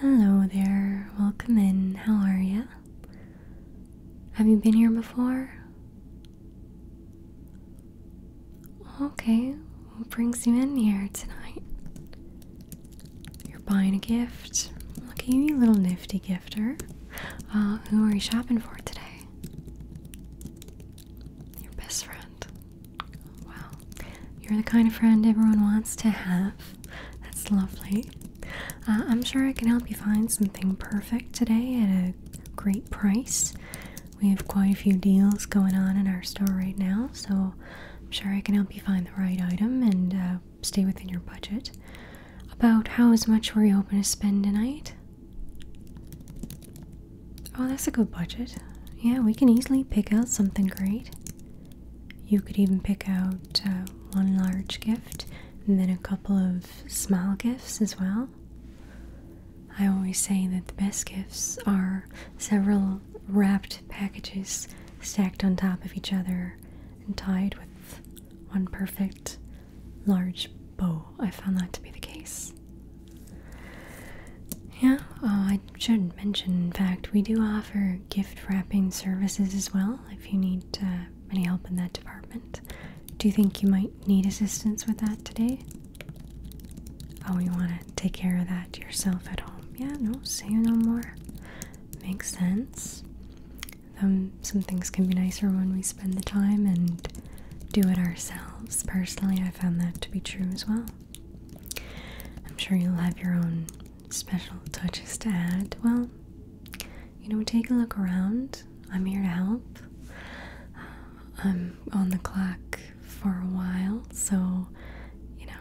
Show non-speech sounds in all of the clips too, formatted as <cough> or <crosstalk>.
Hello there, welcome in. How are you? Have you been here before? Okay, what brings you in here tonight? You're buying a gift. Look at you, little nifty gifter. Uh, who are you shopping for today? Your best friend. Wow. You're the kind of friend everyone wants to have. That's lovely. Uh, I'm sure I can help you find something perfect today at a great price. We have quite a few deals going on in our store right now, so I'm sure I can help you find the right item and uh, stay within your budget. About how much were you hoping to spend tonight? Oh, that's a good budget. Yeah, we can easily pick out something great. You could even pick out uh, one large gift and then a couple of small gifts as well. I always say that the best gifts are several wrapped packages stacked on top of each other and tied with one perfect large bow. I found that to be the case. Yeah, uh, I I should mention, in fact, we do offer gift wrapping services as well if you need uh, any help in that department. Do you think you might need assistance with that today? Oh, you want to take care of that yourself at home? Yeah, no, say no more. Makes sense. Um, some things can be nicer when we spend the time and do it ourselves. Personally, I found that to be true as well. I'm sure you'll have your own special touches to add, well, you know, take a look around. I'm here to help. I'm on the clock for a while, so you know,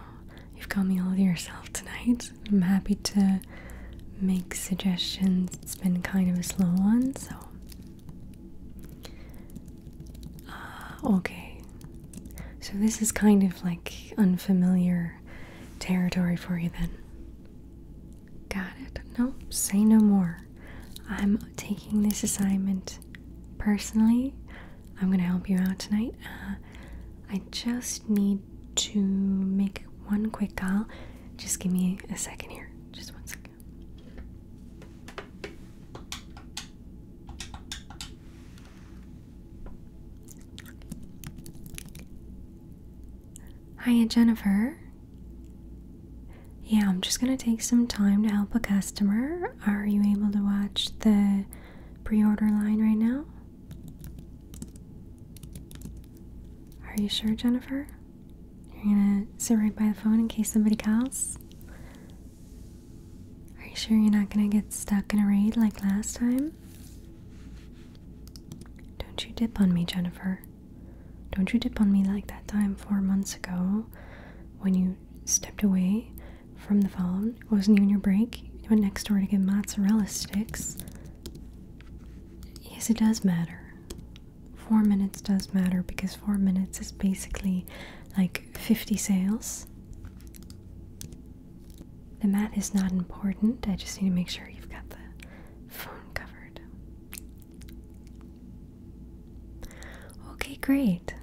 you've got me all to yourself tonight. I'm happy to make suggestions. It's been kind of a slow one, so. Ah, okay, so this is kind of like unfamiliar territory for you then. Got it. No, say no more. I'm taking this assignment personally. I'm going to help you out tonight. Uh, I just need to make one quick call. Just give me a second here. Just one second. Hi, Jennifer. Yeah, I'm just gonna take some time to help a customer. Are you able to watch the pre order line right now? Are you sure, Jennifer? You're gonna sit right by the phone in case somebody calls? Are you sure you're not gonna get stuck in a raid like last time? Don't you dip on me, Jennifer. Don't you dip on me like that time four months ago when you stepped away from the phone. It wasn't even your break. You went next door to get mozzarella sticks. Yes, it does matter. Four minutes does matter because four minutes is basically like 50 sales. The mat is not important. I just need to make sure you've got the phone covered. Okay, great.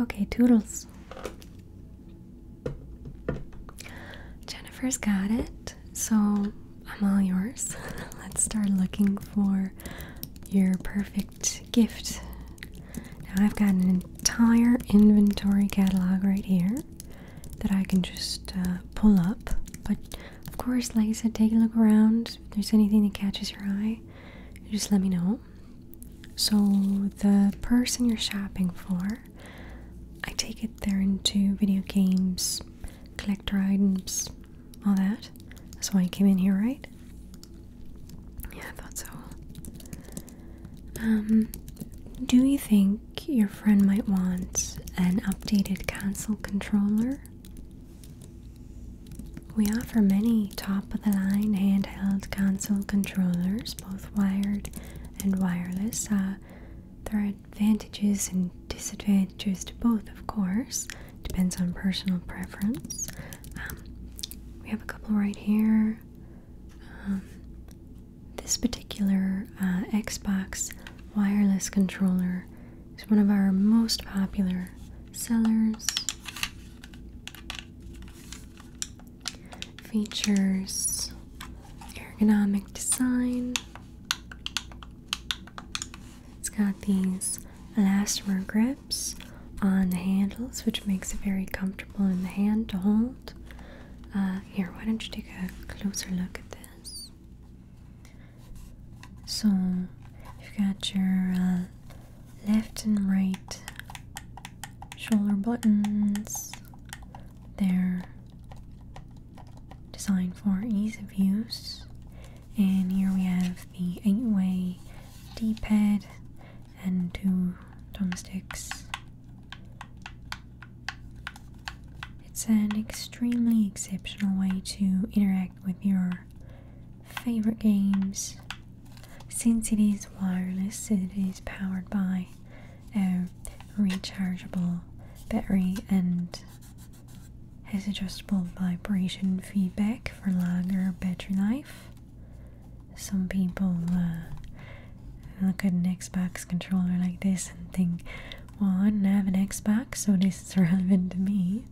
Okay, toodles. Jennifer's got it, so I'm all yours. <laughs> Let's start looking for your perfect gift. Now, I've got an entire inventory catalog right here that I can just uh, pull up. But of course, like I said, take a look around. If there's anything that catches your eye, just let me know. So, the person you're shopping for, I take it they're into video games, collector items, all that. That's why you came in here, right? Yeah, I thought so. Um, do you think your friend might want an updated console controller? We offer many top of the line handheld console controllers, both wired and wireless. Uh, there are advantages and disadvantages to both, of course, depends on personal preference. Um, we have a couple right here. Um, this particular uh, Xbox wireless controller is one of our most popular sellers. Features ergonomic design. It's got these elastomer grips on the handles, which makes it very comfortable in the hand to hold. Uh, here, why don't you take a closer look at this? So, you've got your uh, left and right shoulder buttons. They're designed for ease of use. And here we have the 8 way D pad and two thumbsticks it's an extremely exceptional way to interact with your favorite games. Since it is wireless, it is powered by a rechargeable battery and has adjustable vibration feedback for longer battery life some people uh, look at an Xbox controller like this and think, well, I don't have an Xbox, so this is <laughs> relevant to me.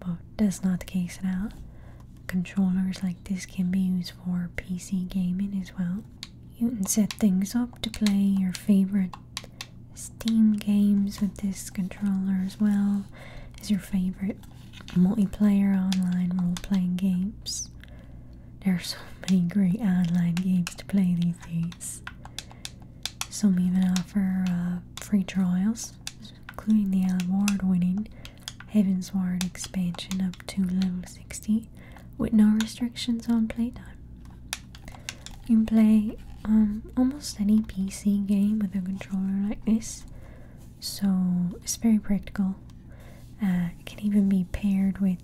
But that's not the case at all. Controllers like this can be used for PC gaming as well. You can set things up to play your favorite Steam games with this controller as well as your favorite multiplayer online role playing games. There are so many great online games to play these days. Some even offer uh, free trials, including the award winning Heaven's Ward expansion up to level 60 with no restrictions on playtime. You can play um, almost any PC game with a controller like this, so it's very practical uh, it can even be paired with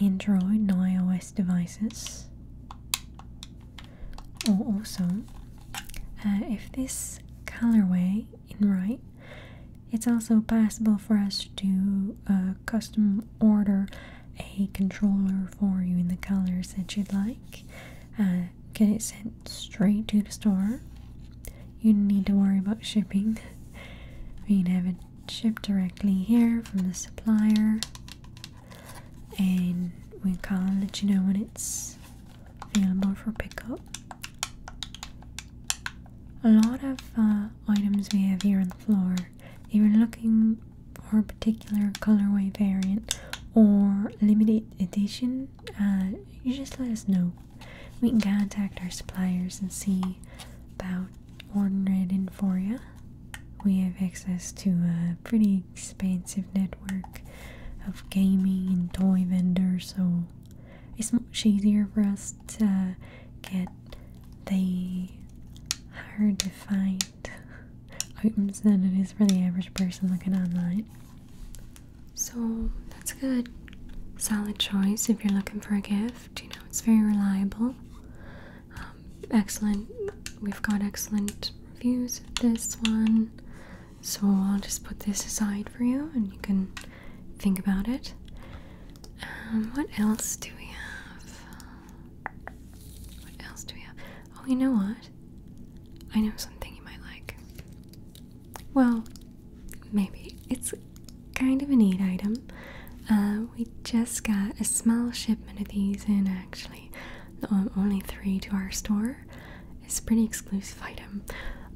Android and iOS devices. Or also, uh, if this colorway in right, it's also possible for us to custom order a controller for you in the colors that you'd like. Uh, get it sent straight to the store. You need to worry about shipping. <laughs> you can shipped directly here from the supplier and we will call let you know when it's available for pickup. A lot of uh, items we have here on the floor, if you're looking for a particular colorway variant or limited edition, uh, you just let us know. We can contact our suppliers and see about out ordered in Foria. We have access to a pretty expansive network of gaming and toy vendors, so it's much easier for us to get the hard-to-find items than it is for the average person looking online. So that's a good, solid choice if you're looking for a gift theft. You know, it's very reliable. Um, excellent. We've got excellent reviews of this one. So I'll just put this aside for you and you can think about it. Um, what else do we have? What else do we have? Oh, you know what? I know something you might like. Well, maybe. It's kind of a neat item. Uh, we just got a small shipment of these in, actually. only three to our store. It's a pretty exclusive item.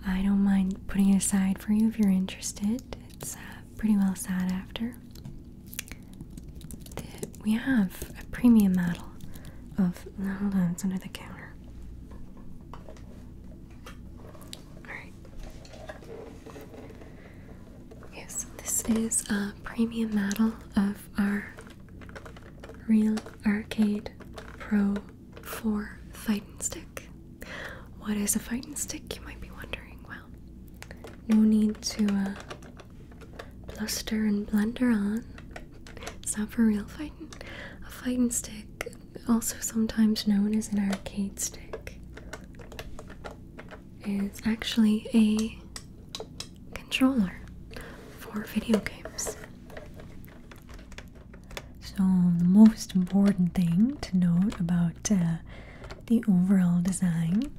I don't mind putting it aside for you if you're interested. It's uh, pretty well sought after. we have a premium model of. No, hold on, it's under the counter. Alright. Yes, this is a premium model of our Real Arcade Pro 4 fighting stick. What is a fighting stick, you might be wondering? Well, no need to uh, bluster and blunder on. It's not for real fighting. A fighting stick, also sometimes known as an arcade stick, is actually a controller for video games. So, the most important thing to note about uh, the overall design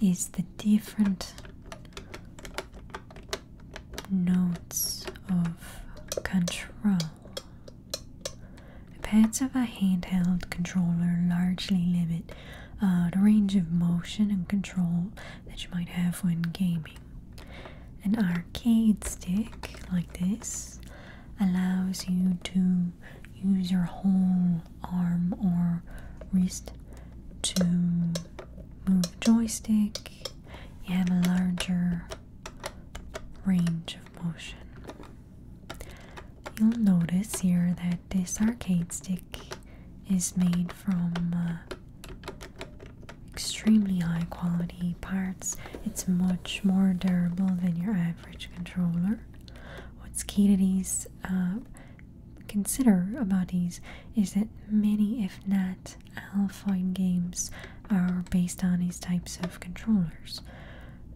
is the different notes of control. The Pads of a handheld controller largely limit uh, the range of motion and control that you might have when gaming. An arcade stick like this allows you to use your whole arm or wrist to move the joystick. You have a larger range of motion. You'll notice here that this arcade stick is made from uh, extremely high quality parts. It's much more durable than your average controller. What's key to these, uh, consider about these, is that many, if not all, alpha games, are based on these types of controllers.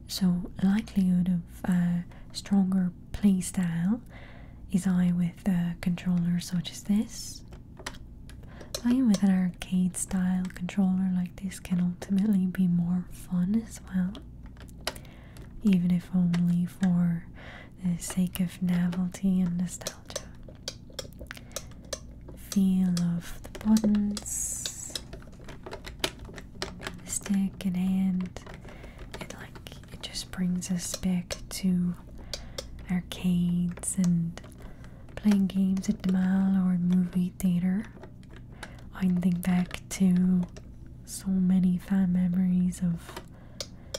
So likelihood of uh, stronger style is high with a controller such as this. Playing with an arcade style controller like this can ultimately be more fun as well. Even if only for the sake of novelty and nostalgia. Feel of the buttons, stick in hand. It like it just brings us back to arcades and playing games at the mall or movie theater. I think back to so many fun memories of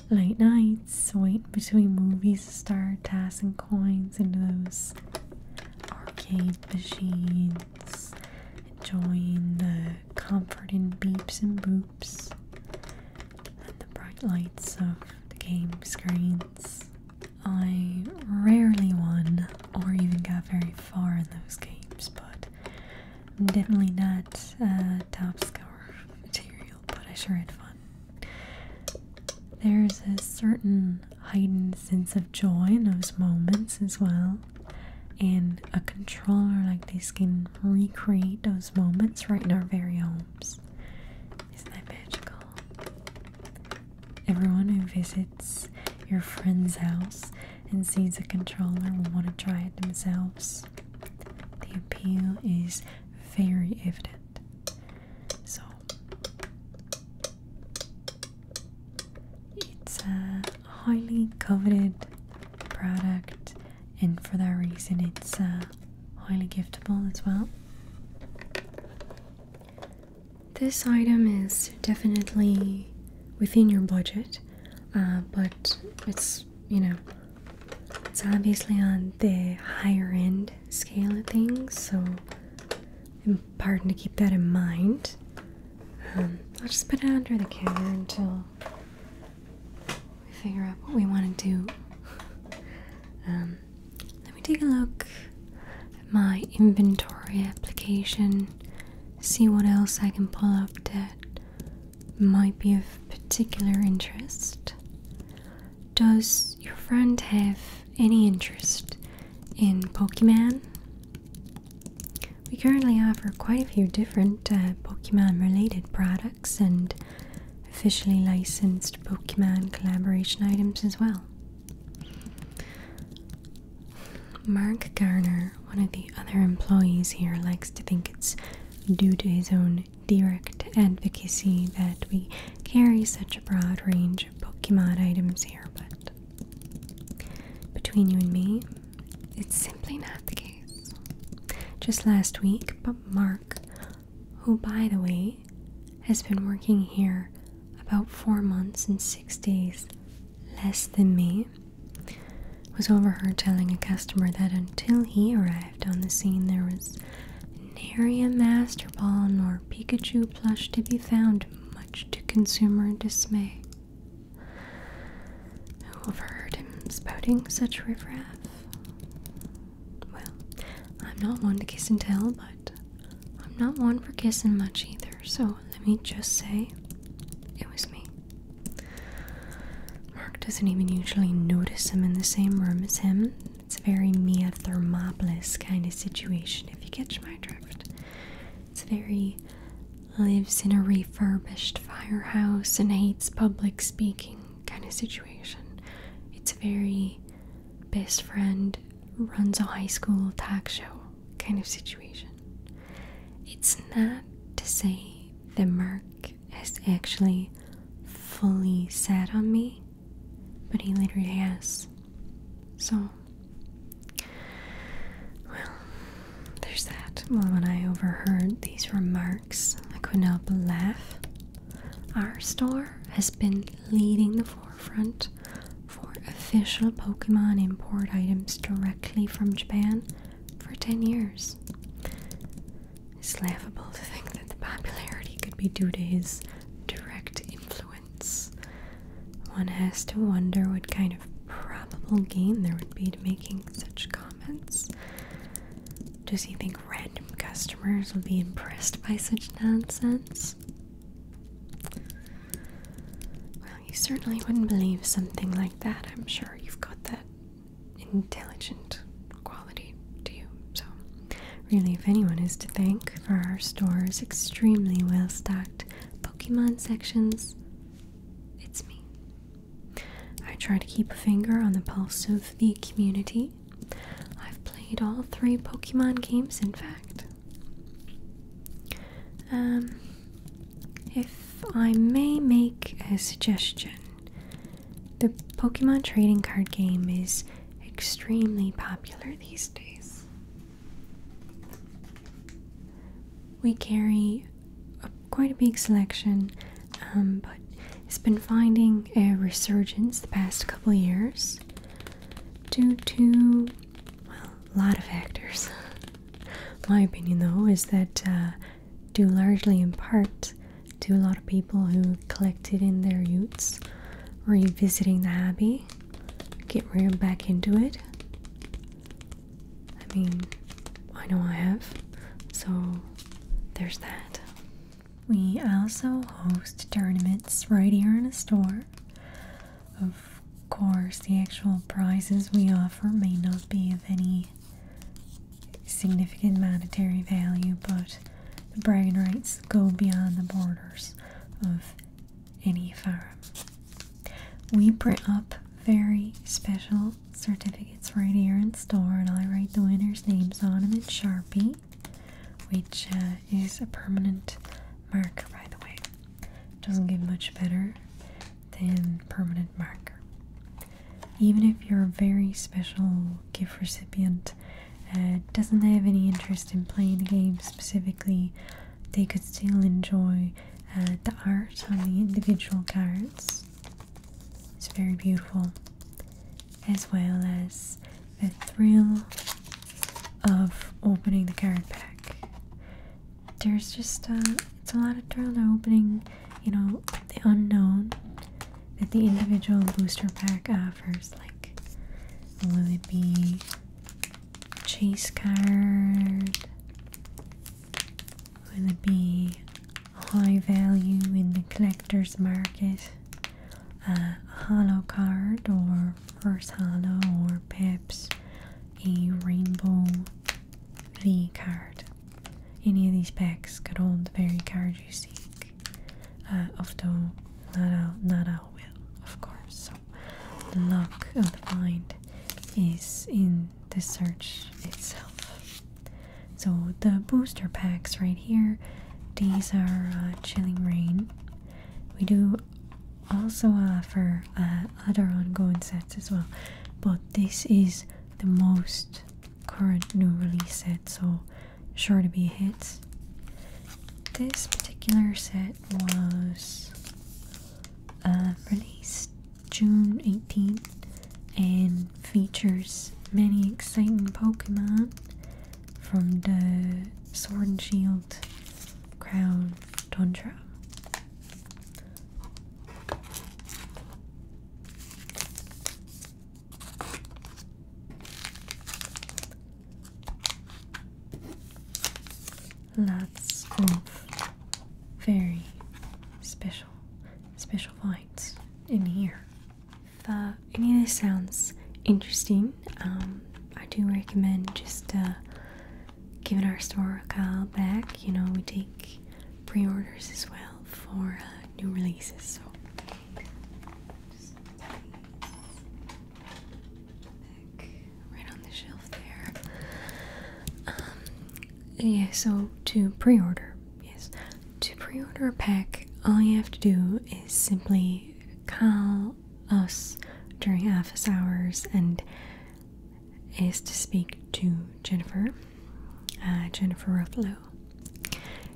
late nights waiting between movies to start tossing coins into those arcade machines enjoying the comforting beeps and boops and the bright lights of the game screens. I rarely won or even got very far in those games, but definitely not top scorer material, but I sure had fun. There's a certain hidden sense of joy in those moments as well and a controller like this can recreate those moments right in our very homes. Isn't that magical? Everyone who visits your friend's house and sees a controller will want to try it themselves. The appeal is very evident. So it's a uh, highly coveted product, and for that reason, it's uh, highly giftable as well. This item is definitely within your budget, uh, but it's you know it's obviously on the higher end scale of things, so important mm, to keep that in mind. I'll just put it under the counter until we figure out what we want to do. Um, let me take a look at my inventory application, see what else I can pull up that might be of particular interest. Does your friend have any interest in Pokemon? We currently offer quite a few different uh, Pokemon related products and officially licensed Pokemon collaboration items as well. Mark Garner, one of the other employees here, likes to think it's due to his own direct advocacy that we carry such a broad range of Pokemon items here, but between you and me, it's simply not the case. Just last week, but Mark, who by the way has been working here about four months and six days less than me, was overheard telling a customer that until he arrived on the scene, there was nary a Master Ball nor Pikachu plush to be found, much to consumer dismay. Who overheard him spouting such riffraff? Well, I'm not one to kiss and tell, but I'm not one for kissing much either, so let me just say it was me. Mark doesn't even usually notice him in the same room as him. It's a very Mia Thermopolis kind of situation, if you catch my drift. It's very lives in a refurbished firehouse and hates public speaking kind of situation. It's very best friend runs a high school talk show kind of situation. It's not to say that Mark has actually fully sat on me, but he literally has. So well, there's that. when I overheard these remarks, I could not but laugh. Our store has been leading the forefront for official Pokemon import items directly from Japan for 10 years. It's laughable to think that the popularity could be due to his direct influence. One has to wonder what kind probable gain there would be to making such comments? Does he think random customers will be impressed by such nonsense? Well, you certainly wouldn't believe something like that. I'm sure you've got that intelligent quality to you. So, really, if anyone is to thank for our store's extremely well stocked Pokemon sections, it's me. I try to keep a finger on the pulse of the community. I've played all three Pokemon games, in fact. Um, if I may make a suggestion, the Pokemon trading card game is extremely popular these days we carry quite a big selection, um, but it's been finding a resurgence the past couple years due to a lot of factors. <laughs> My opinion, though, is that uh, due largely in part to a lot of people who collected in their youths, revisiting the hobby, get real back into it, I mean, I know I have, so there's that. We also host tournaments right here in the store. Of course, the actual prizes we offer may not be of any significant monetary value, but the bragging rights go beyond the borders of any farm. We bring up very special certificates right here in store, and I write the winners' names on them in Sharpie, which uh, is a permanent marker, by the way. Doesn't get much better than permanent marker. Even if you're a very special gift recipient, uh, doesn't have any interest in playing the game specifically, they could still enjoy uh, the art on the individual cards is very beautiful, as well as the thrill of opening the card pack. There's just a, uh, it's a lot of thrill to opening, you know, the unknown that the individual booster pack offers. Like, will it be chase card? will be high value in the collector's market, a hollow card or reverse hollow, or perhaps a rainbow V card. Any of these packs could hold the very card you seek, uh, although not all, not all will, of course. So, the luck of the find is in the search itself. So the booster packs right here, these are uh, Chilling Rain. We do also offer uh, other ongoing sets as well, but this is the most current new release set, so sure to be hits. This particular set was uh, released June 18th and features many exciting Pokemon from the Sword and Shield Crown Tundra. Lots of very special special, finds in here. If uh, any of this sounds interesting, um, I do recommend just uh, giving our store a call back. You know, we take pre orders as well for uh, new releases. So. right on the shelf there. Um, yeah, so to pre-order, yes, to pre-order a pack, all you have to do is simply call us during office hours and is to speak to Jennifer, uh, Jennifer Ruffalo.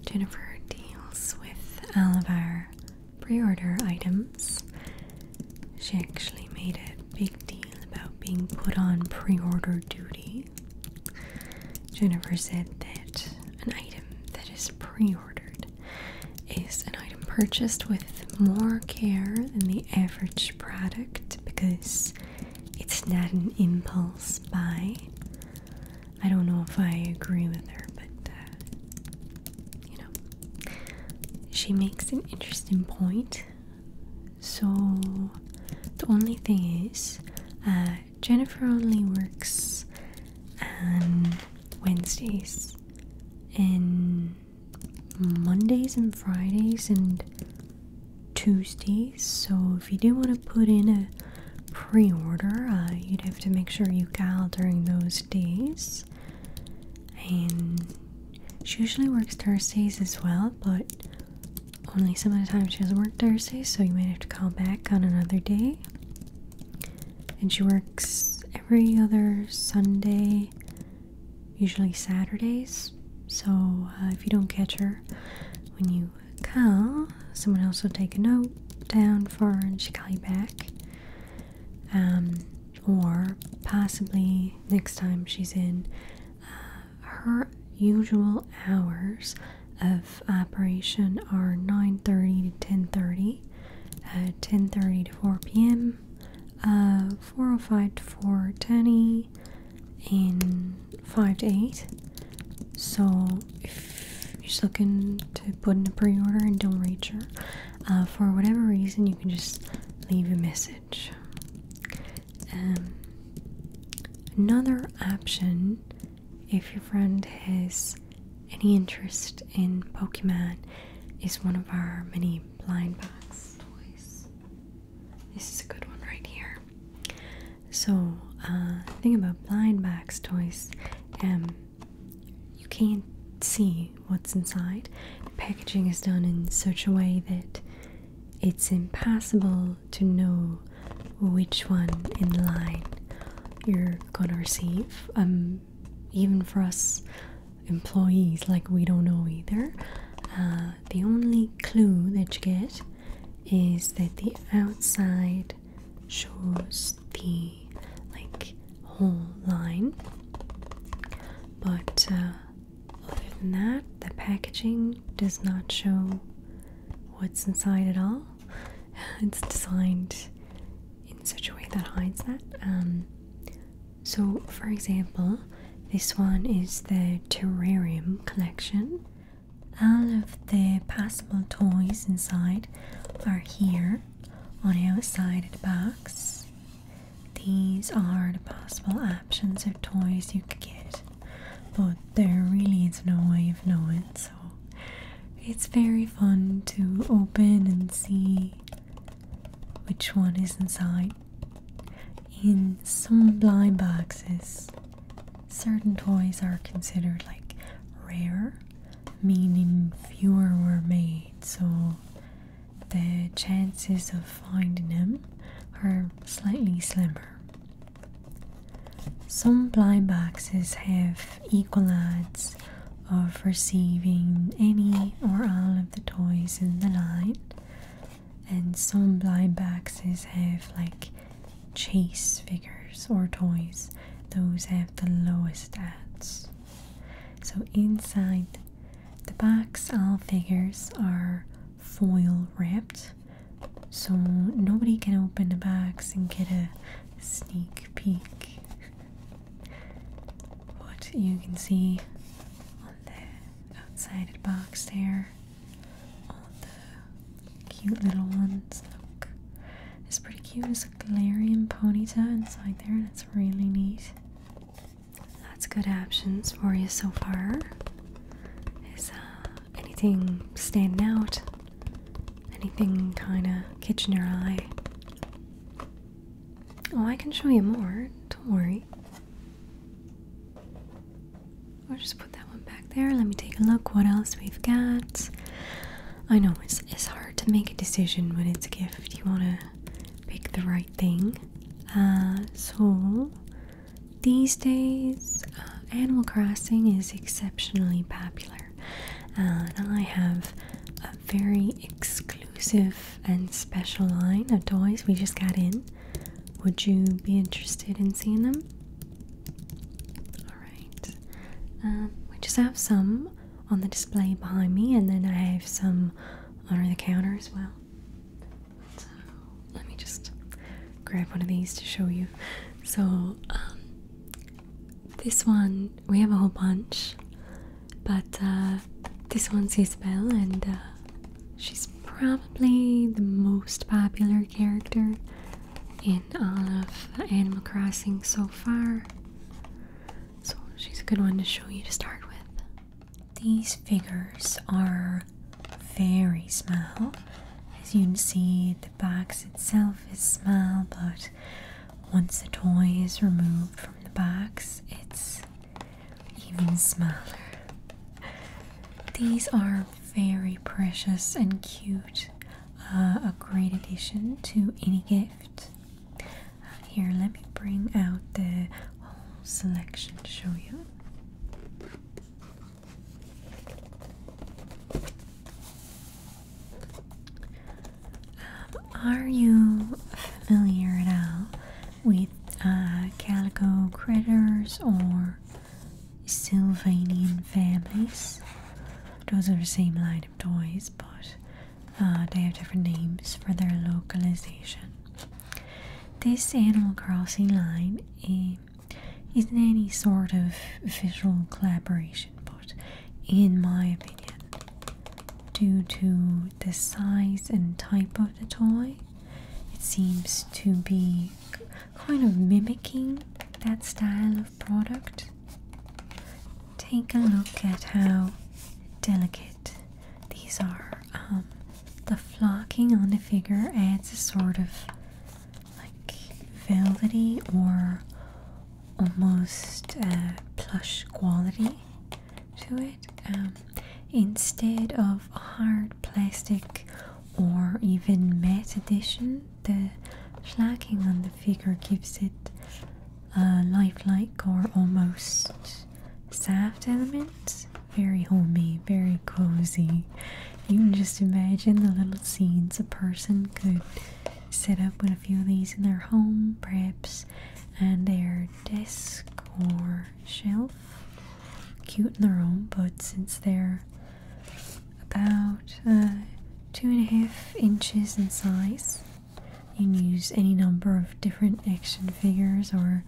Jennifer deals with all of our pre-order items. She actually made it big deal about being put on pre order duty. Jennifer said that an item that is pre ordered is an item purchased with more care than the average product because it's not an impulse buy. I don't know if I agree with her, but uh, you know, she makes an interesting point so the only thing is, uh, Jennifer only works on Wednesdays and Mondays and Fridays and Tuesdays. So if you do want to put in a pre-order, uh, you'd have to make sure you call during those days. And she usually works Thursdays as well, but only some of the time she doesn't work Thursdays, so you might have to call back on another day. And she works every other Sunday, usually Saturdays. So uh, if you don't catch her when you call, someone else will take a note down for her and she'll call you back. Um, or possibly next time she's in uh, her usual hours of operation are 9.30 to 10.30 uh, 10.30 to 4 p.m uh, 4.05 to 4.10 and 5 to 8 so if you're just looking to put in a pre-order and don't reach uh, her for whatever reason you can just leave a message um, another option, if your friend has any interest in Pokemon, is one of our many blind box toys. This is a good one right here. So, uh, the thing about blind box toys, um, you can't see what's inside. packaging is done in such a way that it's impossible to know which one in line you're gonna receive. Um, even for us employees, like we don't know either. Uh, the only clue that you get is that the outside shows the like whole line, but uh, other than that, the packaging does not show what's inside at all. <laughs> It's designed in such a way that hides that. Um, so, for example, this one is the terrarium collection. All of the possible toys inside are here on the outside of the box. These are the possible options of toys you could get, but there really is no way of knowing, so it's very fun to open and see which one is inside. In some blind boxes, certain toys are considered like rare, meaning fewer were made, so the chances of finding them are slightly slimmer. Some blind boxes have equal odds of receiving any or all of the toys in the line, and some blind boxes have like chase figures or toys, those have the lowest odds. So inside the box, all figures are foil wrapped so nobody can open the box and get a sneak peek what <laughs> you can see on the outside of the box there all the cute little ones look it's pretty cute there's a galarian ponyta inside there and it's really neat that's good options for you so far. Is uh, anything standing out? Anything kind of catching your eye? Oh, I can show you more. Don't worry. We'll just put that one back there. Let me take a look what else we've got. I know it's, it's hard to make a decision when it's a gift. You want to pick the right thing. Uh, so, these days, uh, Animal Crossing is exceptionally popular, uh, and I have a very exclusive and special line of toys we just got in. Would you be interested in seeing them? Alright. Um, we just have some on the display behind me, and then I have some under the counter as well. So let me just grab one of these to show you. So um, this one we have a whole bunch, but uh, this one's Isabel, and uh, she's probably the most popular character in all of Animal Crossing so far. So she's a good one to show you to start with. These figures are very small. As you can see, the box itself is small, but once the toy is removed from the box, it's even smaller. These are very precious and cute. Uh, a great addition to any gift. Uh, here, let me bring out the whole selection to show you. Um, are you familiar at all with uh, calico critters or Sylvanian families? Those are the same line of toys, but uh, they have different names for their localization. This Animal Crossing line is isn't any sort of visual collaboration, but in my opinion, due to the size and type of the toy, it seems to be kind of mimicking that style of product. Take a look at how delicate these are. Um, the flocking on the figure adds a sort of like velvety or almost plush quality to it um, instead of hard plastic or even matte edition the flocking on the figure gives it a lifelike or almost soft element very homey, very cozy. You can just imagine the little scenes a person could set up with a few of these in their home, perhaps on their desk or shelf. Cute in their own, but since they're about uh, two and a half inches in size, you can use any number of different action figures or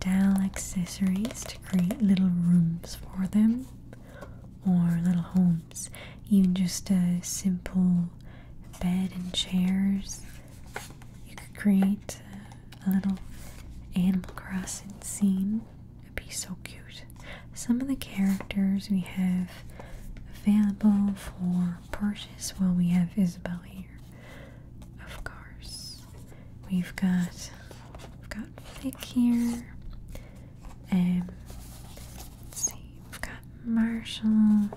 doll accessories to create little rooms for them or little homes. Even just a simple bed and chairs. You could create a little Animal Crossing scene. It'd be so cute. Some of the characters we have available for purchase. Well, we have Isabel here, of course. We've got, we've got Click here. Um, see, we've got Marshall,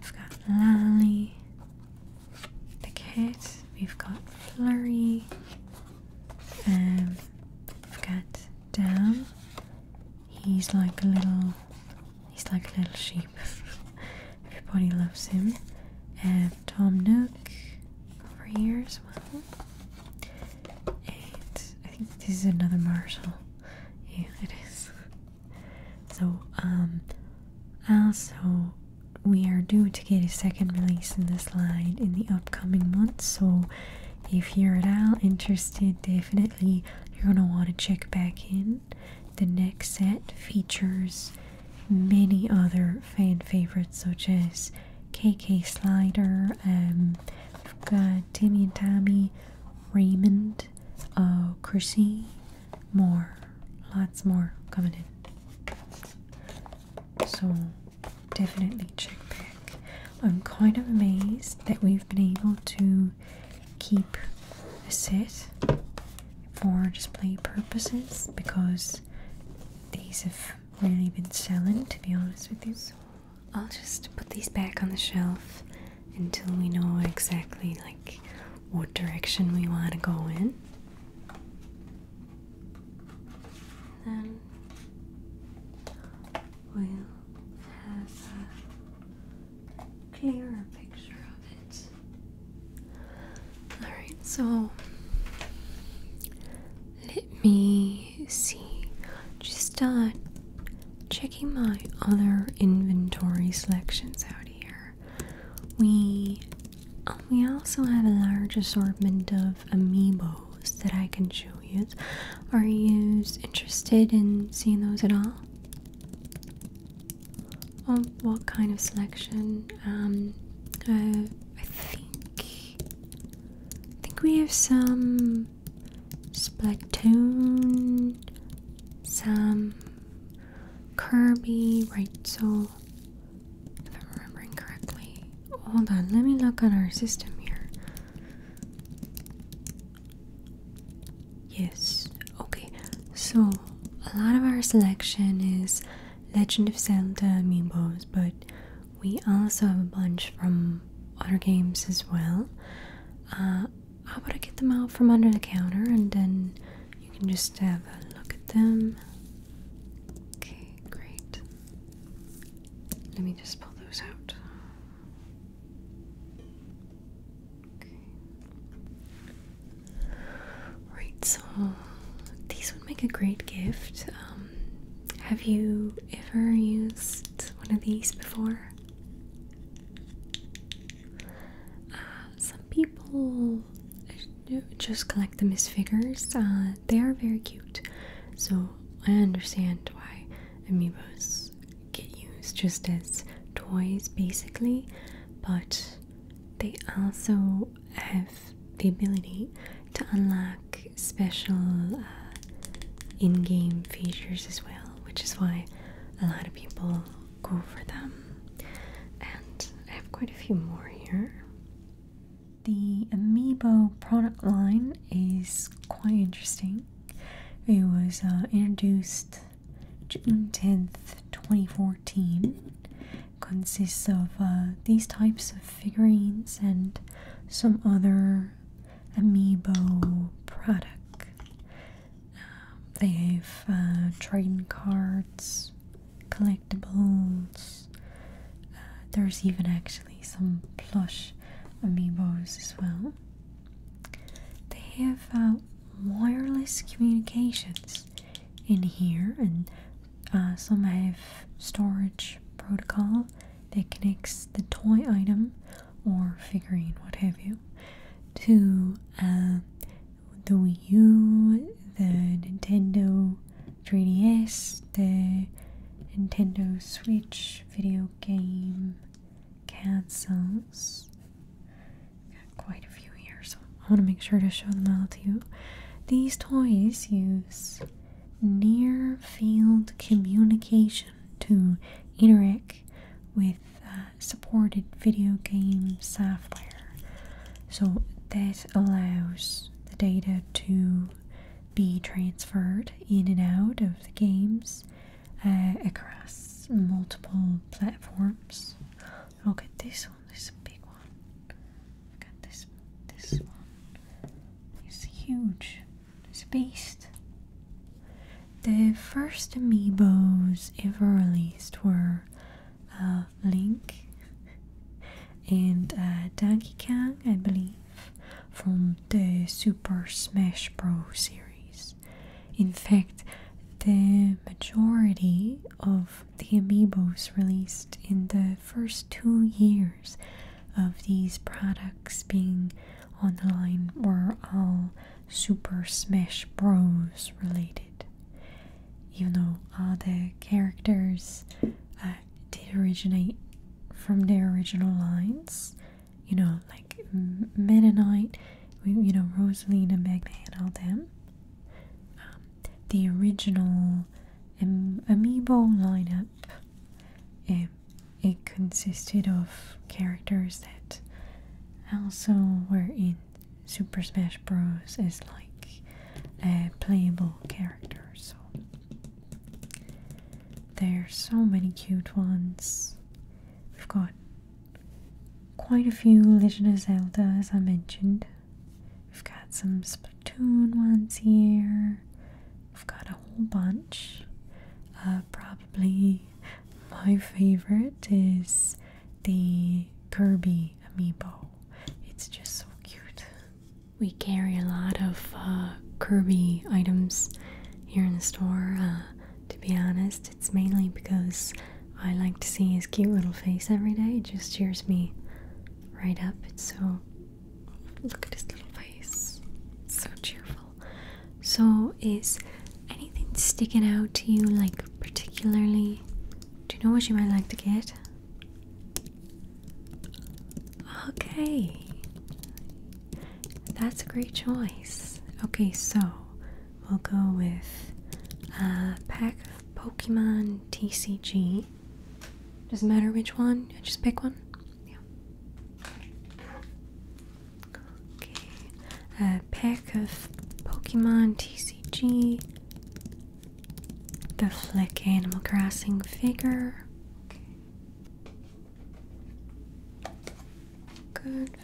we've got Lally, the kid, we've got Flurry, um, we've got Dam. He's like a little, he's like a little sheep. <laughs> Everybody loves him. And um, Tom Nook, over here as well. And I think this is another Marshall. Yeah, it is. So, um, also, we are due to get a second release in this line in the upcoming months. So, if you're at all interested, definitely you're gonna want to check back in. The next set features many other fan favorites such as KK Slider, um, we've got Timmy and Tommy, Raymond, uh, Chrissy, more, lots more coming in. So definitely check back. I'm kind of amazed that we've been able to keep a set for display purposes because these have really been selling, to be honest with you. So I'll just put these back on the shelf until we know exactly like what direction we want to go in. Then we'll have a clearer picture of it. Alright, so let me see. Just start checking my other inventory selections out here. We um, we also have a large assortment of amiibos that I can show you. Are you interested in seeing those at all? Oh, what kind of selection? Um, I think I think we have some Splatoon, some Kirby, right? So if I'm remembering correctly. Hold on, let me look at our system here. Yes, okay. So a lot of our selection is Legend of Zelda amiibos, but we also have a bunch from other games as well. Uh, how about I get them out from under the counter and then you can just have a look at them? Okay, great. Let me just pull those out. Okay. Right, so these would make a great gift. Um, have you ever used one of these before? Uh, some people uh, just collect the as uh, they are very cute, so I understand why amibos get used just as toys, basically. But they also also have the ability to unlock special uh, in-game features as well, which is why a lot of people go for them. And I have quite a few more here. The Amiibo product line is quite interesting. It was uh, introduced June 10th, 2014, consists of uh, these types of figurines and some other amiibo product. Um, they have uh, trading cards, collectibles. Uh, there's even actually some plush amiibos as well. They have wireless communications in here, and uh, some have storage protocol that connects the toy item or figurine, what have you, to uh, the Wii U, the Nintendo 3DS, the Nintendo Switch video game consoles. Got quite a few here, so I want to make sure to show them all to you. These toys use near field communication to interact with uh, supported video game software. So that allows the data to be transferred in and out of the games uh, across multiple platforms. Look at this this is a big one. Look at this this one. It's huge. It's beast. The first amiibos ever released were uh, Link <laughs> and uh, Donkey Kong, I believe, from the Super Smash Bros. series. In fact, the majority of the amiibos released in the the first two years of these products being online, were all Super Smash Bros. related. Even though all the characters uh, did originate from their original lines, you know, like Meta Knight, you know, Rosalina, Magman, all them. Um, the original um, amiibo lineup. it consisted of characters that also were in Super Smash Bros. as like uh, playable characters. So there are so many cute ones. We've got quite a few Legend of Zelda, as I mentioned. We've got some Splatoon ones here. We've got a whole bunch. Uh, probably my favorite is the Kirby amiibo. It's just so cute. We carry a lot of uh, Kirby items here in the store. Uh, to be honest, it's mainly because I like to see his cute little face every day. It just cheers me right up. It's so Look at his little face. So cheerful. So, is anything sticking out to you, like particularly? Do you know what you might like to get? Okay. That's a great choice. Okay, so we'll go with a pack of Pokemon TCG doesn't matter which one, I just pick one. Yeah. Okay. A pack of Pokemon TCG. The Flick Animal Crossing figure. Good.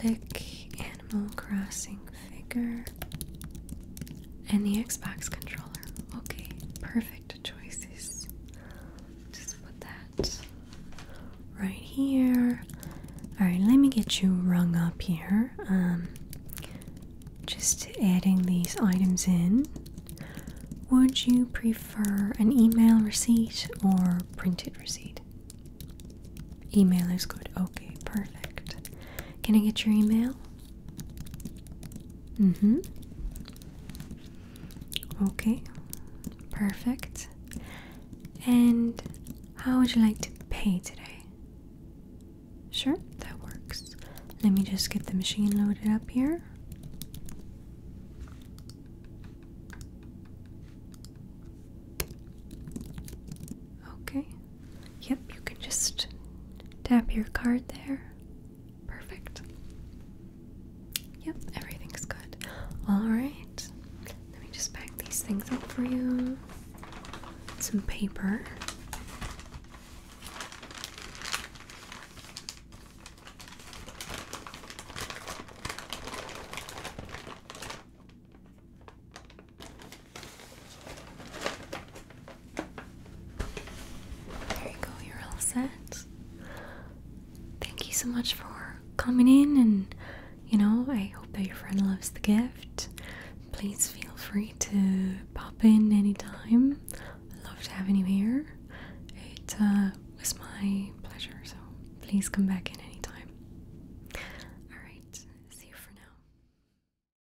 Flick Animal Crossing figure and the Xbox controller. Okay, perfect choices. Just put that right here. Alright, let me get you rung up here. Um, just adding these items in. Would you prefer an email receipt or printed receipt? Email is good. Okay, perfect. Can I get your email? Mm-hmm. Okay. Perfect. And how would you like to pay today? Sure, that works. Let me just get the machine loaded up here. Okay. Yep, you can just tap your card there. Perfect. Yep, everything's good. Alright, let me just pack these things up for you. Some paper. There you go, you're all set. Thank you so much for coming in, and you know, I hope that your friend loves the gift. Please feel free to pop in anytime. I love to have you here. It uh, was my pleasure, so please come back in anytime. Alright, see you for now.